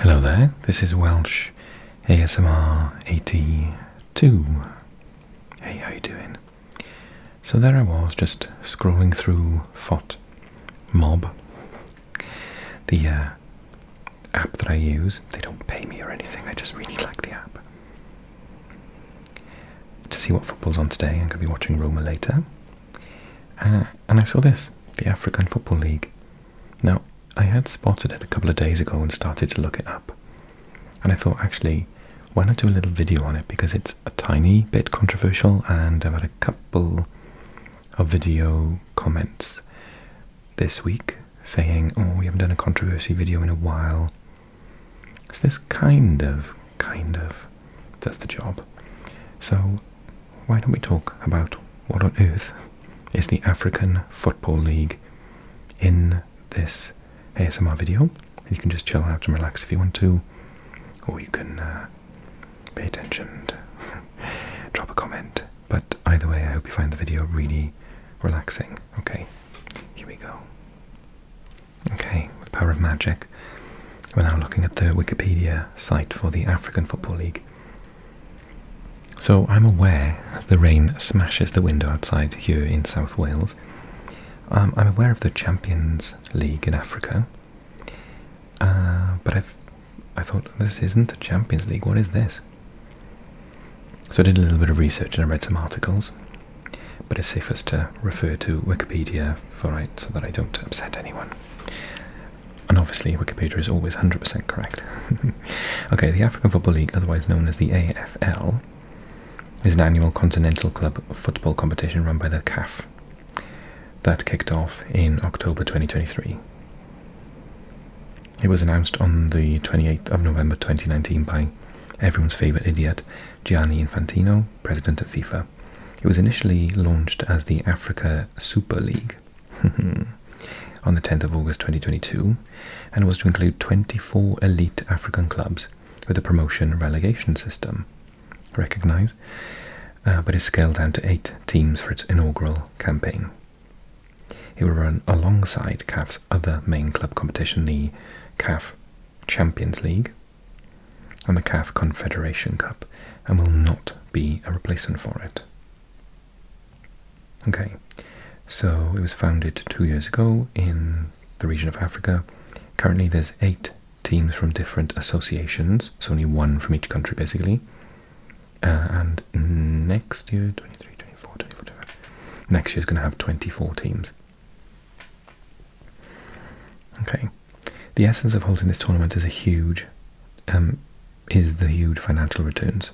Hello there, this is Welsh ASMR 82. Hey, how you doing? So there I was, just scrolling through FOT Mob, the uh, app that I use. They don't pay me or anything, I just really like the app. To see what football's on today, I'm going to be watching Roma later. Uh, and I saw this, the African Football League. Now, I had spotted it a couple of days ago and started to look it up. And I thought, actually, why not do a little video on it? Because it's a tiny bit controversial, and I've had a couple of video comments this week saying, oh, we haven't done a controversy video in a while. So this kind of, kind of does the job. So why don't we talk about what on earth is the African Football League in this ASMR video? You can just chill out and relax if you want to, or you can uh, pay attention, drop a comment. But either way, I hope you find the video really relaxing. Okay, here we go. Okay, the power of magic, we're now looking at the Wikipedia site for the African Football League. So I'm aware the rain smashes the window outside here in South Wales. Um, I'm aware of the Champions League in Africa, uh, but i thought this isn't the Champions League. What is this? So I did a little bit of research and I read some articles, but it's safest to refer to Wikipedia for right so that I don't upset anyone. And obviously, Wikipedia is always 100% correct. okay, the African Football League, otherwise known as the AFL, is an annual continental club football competition run by the CAF that kicked off in October 2023. It was announced on the 28th of November 2019 by everyone's favourite idiot, Gianni Infantino, president of FIFA. It was initially launched as the Africa Super League on the 10th of August 2022 and was to include 24 elite African clubs with a promotion relegation system, recognise, uh, but is scaled down to eight teams for its inaugural campaign. It will run alongside CAF's other main club competition, the CAF Champions League and the CAF Confederation Cup, and will not be a replacement for it. Okay, so it was founded two years ago in the region of Africa. Currently, there's eight teams from different associations, It's only one from each country basically. Uh, and next year, 23, 24, 24, 25, next year's going to have 24 teams. Okay, the essence of holding this tournament is a huge, um, is the huge financial returns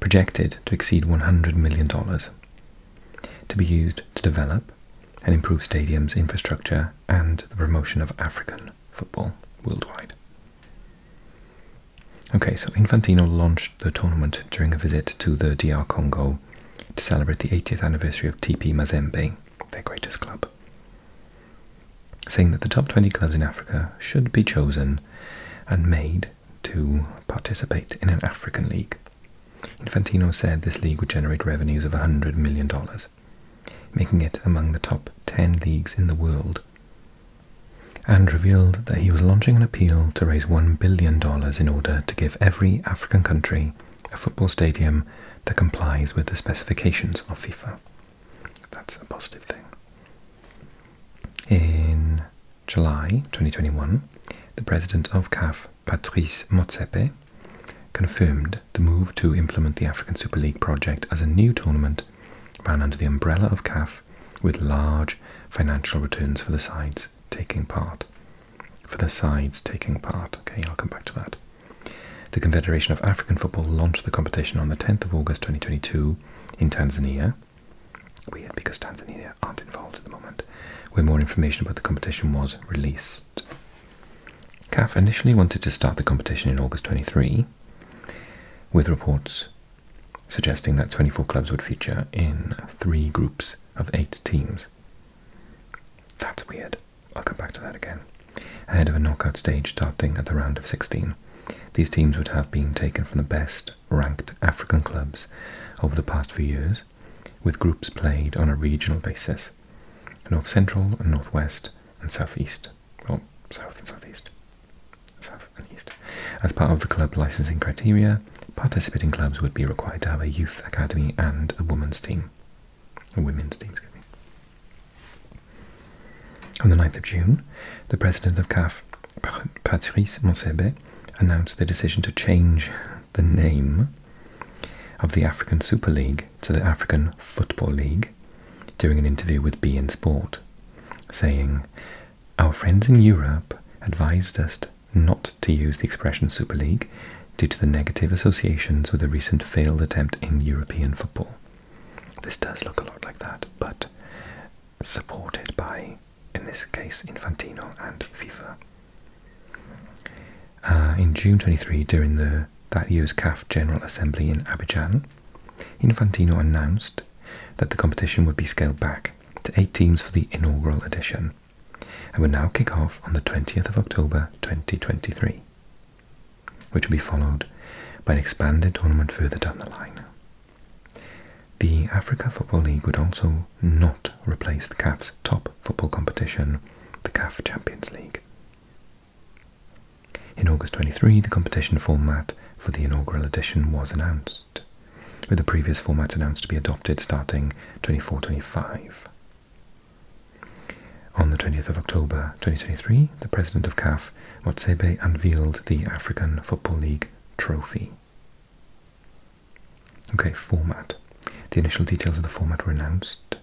projected to exceed $100 million, to be used to develop and improve stadiums' infrastructure and the promotion of African football worldwide. Okay, so Infantino launched the tournament during a visit to the DR Congo to celebrate the 80th anniversary of TP Mazembe, their greatest club saying that the top 20 clubs in Africa should be chosen and made to participate in an African league. Infantino said this league would generate revenues of $100 million, making it among the top 10 leagues in the world, and revealed that he was launching an appeal to raise $1 billion in order to give every African country a football stadium that complies with the specifications of FIFA. That's a positive thing. In July 2021, the president of CAF, Patrice Motsepe, confirmed the move to implement the African Super League project as a new tournament ran under the umbrella of CAF with large financial returns for the sides taking part. For the sides taking part. Okay, I'll come back to that. The Confederation of African Football launched the competition on the 10th of August 2022 in, Tanzania. Weird, because Tanzania aren't involved at the moment, where more information about the competition was released. CAF initially wanted to start the competition in August 23, with reports suggesting that 24 clubs would feature in three groups of eight teams. That's weird. I'll come back to that again. Ahead of a knockout stage starting at the round of 16. These teams would have been taken from the best ranked African clubs over the past few years, with groups played on a regional basis North Central, and Northwest, and Southeast. Or South and Southeast. South and East. As part of the club licensing criteria, participating clubs would be required to have a youth academy and a women's team. A women's team, on the 9th of June, the president of CAF, Patrice Monsebe, announced the decision to change the name of the African Super League to the African Football League during an interview with B and Sport, saying, Our friends in Europe advised us not to use the expression Super League due to the negative associations with the recent failed attempt in European football. This does look a lot like that, but supported by, in this case, Infantino and FIFA. Uh, in June 23, during the, that year's CAF General Assembly in Abidjan, Infantino announced that the competition would be scaled back to eight teams for the inaugural edition and would now kick off on the 20th of October 2023, which will be followed by an expanded tournament further down the line. The Africa Football League would also not replace the CAF's top football competition, the CAF Champions League. In August 2023, the competition format for the inaugural edition was announced, with the previous format announced to be adopted starting 24-25. On the 20th of October 2023, the president of CAF, Watsebe, unveiled the African Football League trophy. Okay, format. The initial details of the format were announced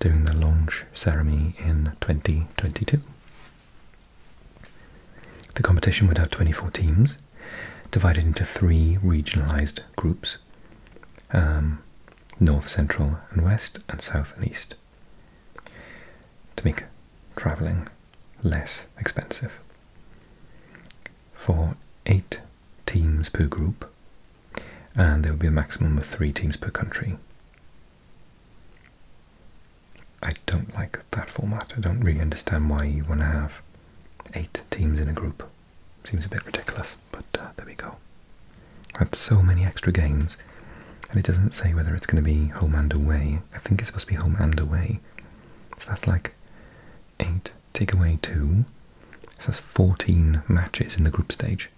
during the launch ceremony in 2022. The competition would have 24 teams, divided into three regionalised groups um, North, Central, and West, and South and East. To make travelling less expensive. For eight teams per group, and there will be a maximum of three teams per country. I don't like that format. I don't really understand why you want to have eight teams in a group. Seems a bit ridiculous, but uh, there we go. That's so many extra games, and it doesn't say whether it's going to be home and away. I think it's supposed to be home and away, so that's like 8, take away 2. So that's 14 matches in the group stage.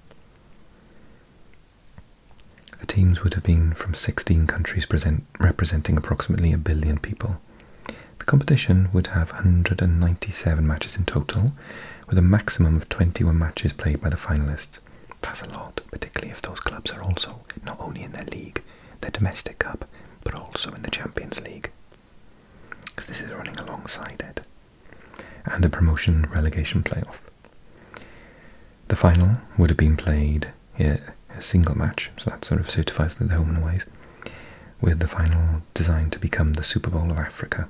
The teams would have been from 16 countries representing approximately a billion people. The competition would have 197 matches in total, with a maximum of 21 matches played by the finalists. That's a lot, particularly if those clubs are also not only in their league the domestic cup, but also in the Champions League, because this is running alongside it, and the promotion relegation playoff. The final would have been played in a single match, so that sort of certifies that the home and aways, with the final designed to become the Super Bowl of Africa.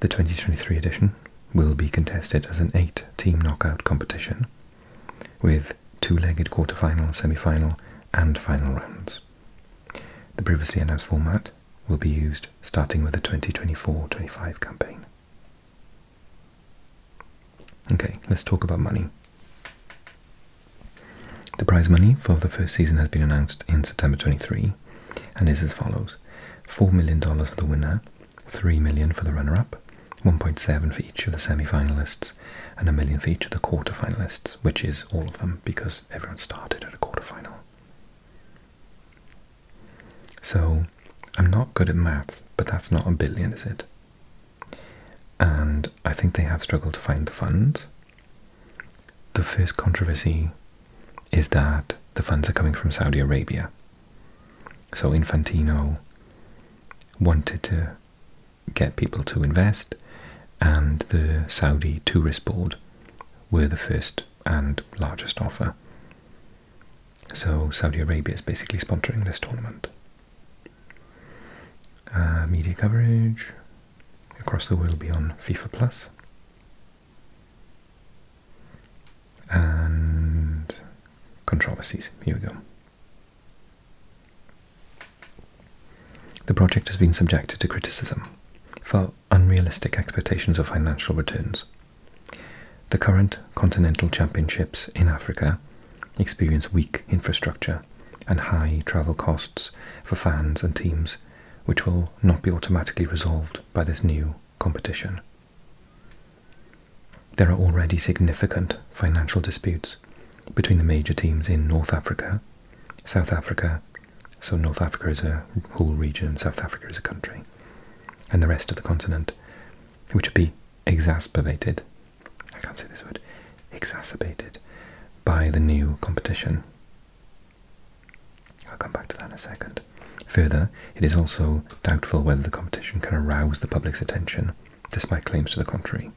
The 2023 edition will be contested as an eight team knockout competition with two-legged quarterfinal, semi-final and final rounds. The previously announced format will be used starting with the 2024-25 campaign. Okay, let's talk about money. The prize money for the first season has been announced in September 23 and is as follows. $4 million for the winner, 3 million for the runner-up, 1.7 for each of the semi-finalists, and a million each of the quarter-finalists, which is all of them because everyone started at a quarter-final. So, I'm not good at maths, but that's not a billion, is it? And I think they have struggled to find the funds. The first controversy is that the funds are coming from Saudi Arabia, so Infantino wanted to get people to invest, and the Saudi Tourist Board were the first and largest offer. So Saudi Arabia is basically sponsoring this tournament. Uh, media coverage across the world will be on FIFA Plus. And controversies. Here we go. The project has been subjected to criticism for unrealistic expectations of financial returns. The current continental championships in Africa experience weak infrastructure and high travel costs for fans and teams, which will not be automatically resolved by this new competition. There are already significant financial disputes between the major teams in North Africa, South Africa, so North Africa is a whole region and South Africa is a country, and the rest of the continent, which would be exacerbated, I can't say this word, exacerbated by the new competition. I'll come back to that in a second. Further, it is also doubtful whether the competition can arouse the public's attention despite claims to the contrary.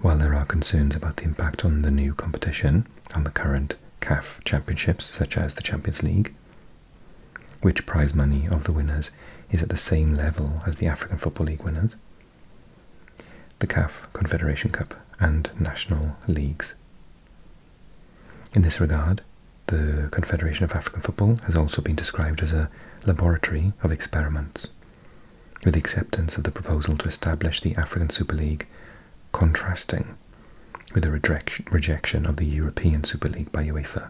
While there are concerns about the impact on the new competition, and the current CAF championships, such as the Champions League, which prize money of the winners is at the same level as the African Football League winners, the CAF Confederation Cup, and national leagues. In this regard, the Confederation of African Football has also been described as a laboratory of experiments. With the acceptance of the proposal to establish the African Super League, contrasting with the rejection of the European Super League by UEFA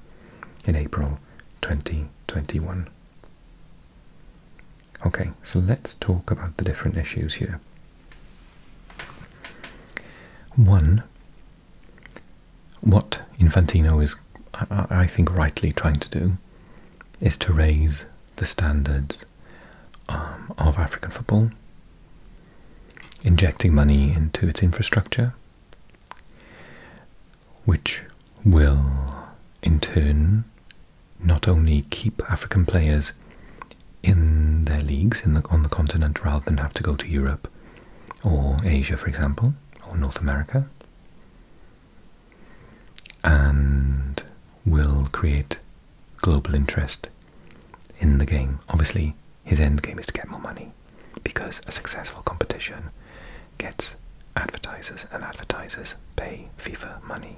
in April 2021. Okay, so let's talk about the different issues here. One what Infantino is, I, think, rightly trying to do is to raise the standards um, of African football, injecting money into its infrastructure, which will in turn not only keep African players in their leagues on the continent rather than have to go to Europe or Asia, for example, or North America, and will create global interest in the game. Obviously, his end game is to get more money because a successful competition gets advertisers, and advertisers pay FIFA money.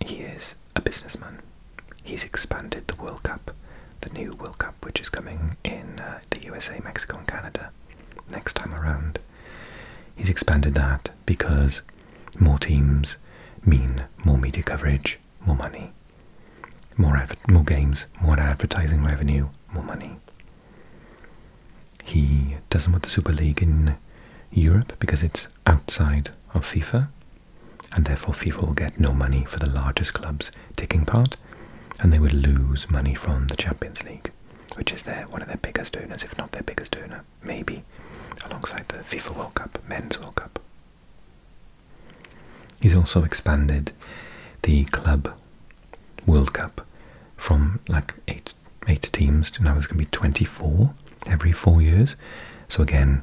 He is a businessman. He's expanded the World Cup, the new World Cup, which is coming in uh, the USA, Mexico, and Canada next time around. He's expanded that because more teams mean more media coverage, more money, more games, more advertising revenue, more money. He doesn't want the Super League in Europe because it's outside of FIFA, and therefore FIFA will get no money for the largest clubs taking part, and they would lose money from the Champions League which is their one of their biggest donors, if not their biggest donor, maybe, alongside the FIFA World Cup, Men's World Cup. He's also expanded the club World Cup from like eight eight teams to now it's going to be 24 every four years. So again,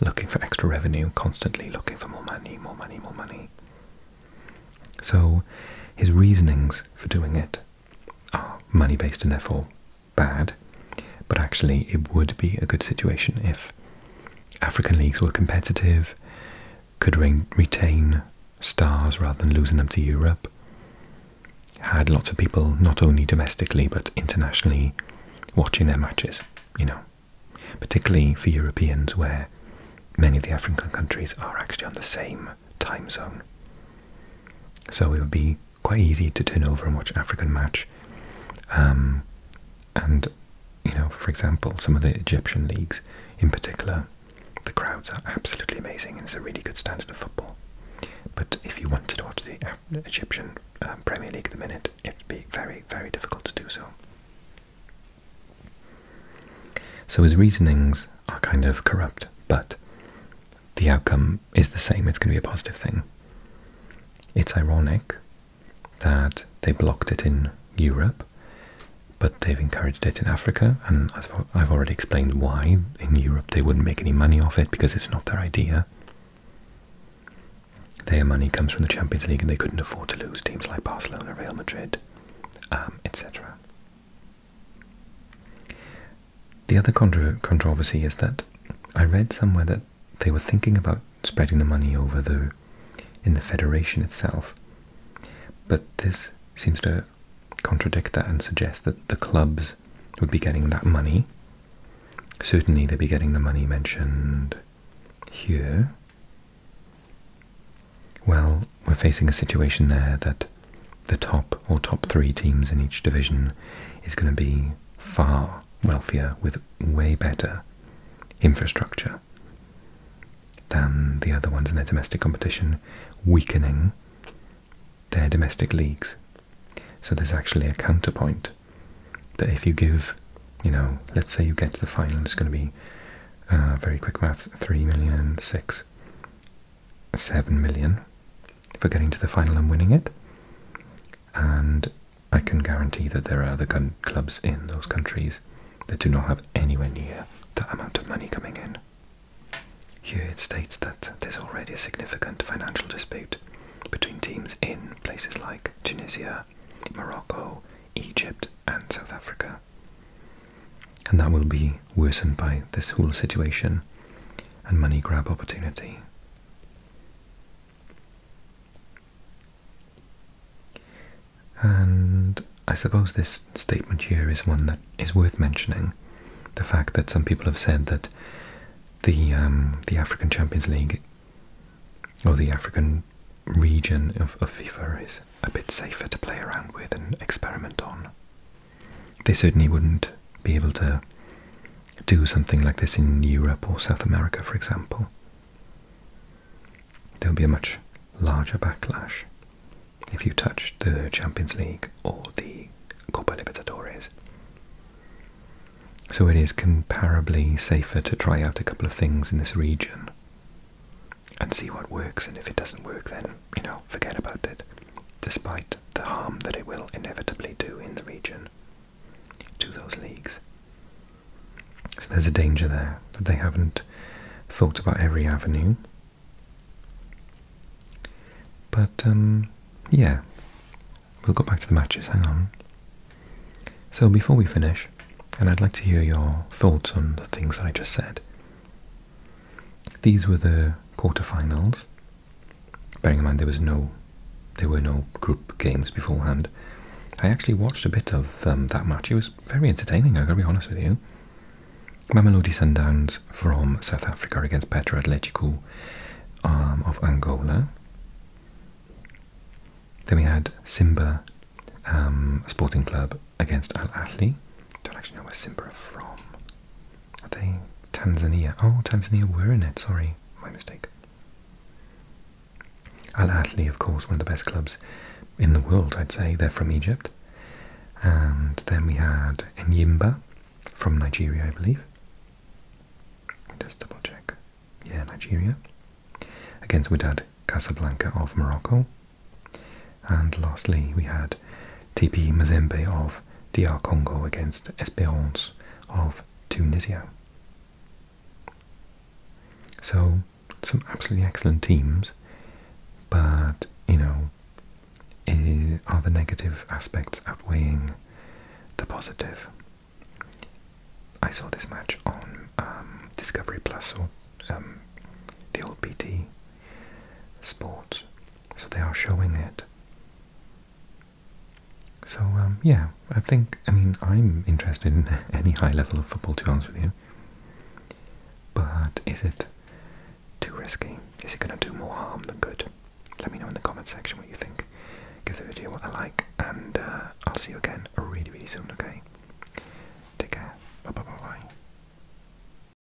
looking for extra revenue, constantly looking for more money, more money, more money. So his reasonings for doing it are money based and therefore bad, but actually it would be a good situation if African leagues were competitive, could retain stars rather than losing them to Europe, had lots of people not only domestically but internationally watching their matches, you know, particularly for Europeans where many of the African countries are actually on the same time zone. So it would be quite easy to turn over and watch African match. Um, and, you know, for example, some of the Egyptian leagues in particular, the crowds are absolutely amazing and it's a really good standard of football. But if you wanted to watch the Egyptian um, Premier League at the minute, it'd be very, very difficult to do so. So his reasonings are kind of corrupt, but the outcome is the same. It's going to be a positive thing. It's ironic that they blocked it in Europe, but they've encouraged it in Africa, and I've already explained why in Europe they wouldn't make any money off it because it's not their idea. Their money comes from the Champions League and they couldn't afford to lose teams like Barcelona, Real Madrid, um, etc. The other contro controversy is that I read somewhere that they were thinking about spreading the money over the in the federation itself, but this seems to contradict that and suggest that the clubs would be getting that money. Certainly, they'd be getting the money mentioned here. Well, we're facing a situation there that the top or top three teams in each division is going to be far wealthier with way better infrastructure than the other ones in their domestic competition, weakening their domestic leagues. So there's actually a counterpoint that if you give, you know, let's say you get to the final, it's going to be uh, very quick maths, 3 million, 6 7 million for getting to the final and winning it. And I can guarantee that there are other clubs in those countries that do not have anywhere near that amount of money coming in. Here it states that there's already a significant financial dispute between teams in places like Tunisia, Morocco, Egypt, and South Africa and that will be worsened by this whole situation and money grab opportunity. And I suppose this statement here is one that is worth mentioning. The fact that some people have said that the um, the African Champions League or the African region of FIFA is a bit safer to play around with and experiment on they certainly wouldn't be able to do something like this in Europe or South America, for example. There would be a much larger backlash if you touched the Champions League or the Copa Libertadores. So it is comparably safer to try out a couple of things in this region and see what works, and if it doesn't work, then, you know, forget about it, despite the harm that it will inevitably do in the region to those leagues. So there's a danger there that they haven't thought about every avenue. But, um, yeah, we'll go back to the matches, hang on. So before we finish, and I'd like to hear your thoughts on the things that I just said, these were the quarterfinals. Bearing in mind there was no, there were no group games beforehand. I actually watched a bit of um, that match. It was very entertaining. I gotta be honest with you. Mamelodi Sundowns from South Africa against Petro Atletico um, of Angola. Then we had Simba um, Sporting Club against Al Ahly. Don't actually know where Simba are from. Are they Tanzania? Oh, Tanzania were in it. Sorry, my mistake. Al Ahly, of course, one of the best clubs in the world, I'd say. They're from Egypt. And then we had Enyimba from Nigeria, I believe. Just double check. Yeah, Nigeria. Against Wydad Casablanca of Morocco. And lastly, we had TP Mazembe of DR Congo against Esperance of Tunisia. So, some absolutely excellent teams, but you know, eh, are the negative aspects outweighing the positive? I saw this match on um, Discovery Plus or um, the old BT Sports, so they are showing it. So, um, yeah, I think, I mean, I'm interested in any high level of football, to be honest with you. But is it too risky? Is it going to do more harm than good? Let me know in the comment section what you think. Give the video a like, and uh, I'll see you again really, really soon, okay? Take care. Bye bye bye bye.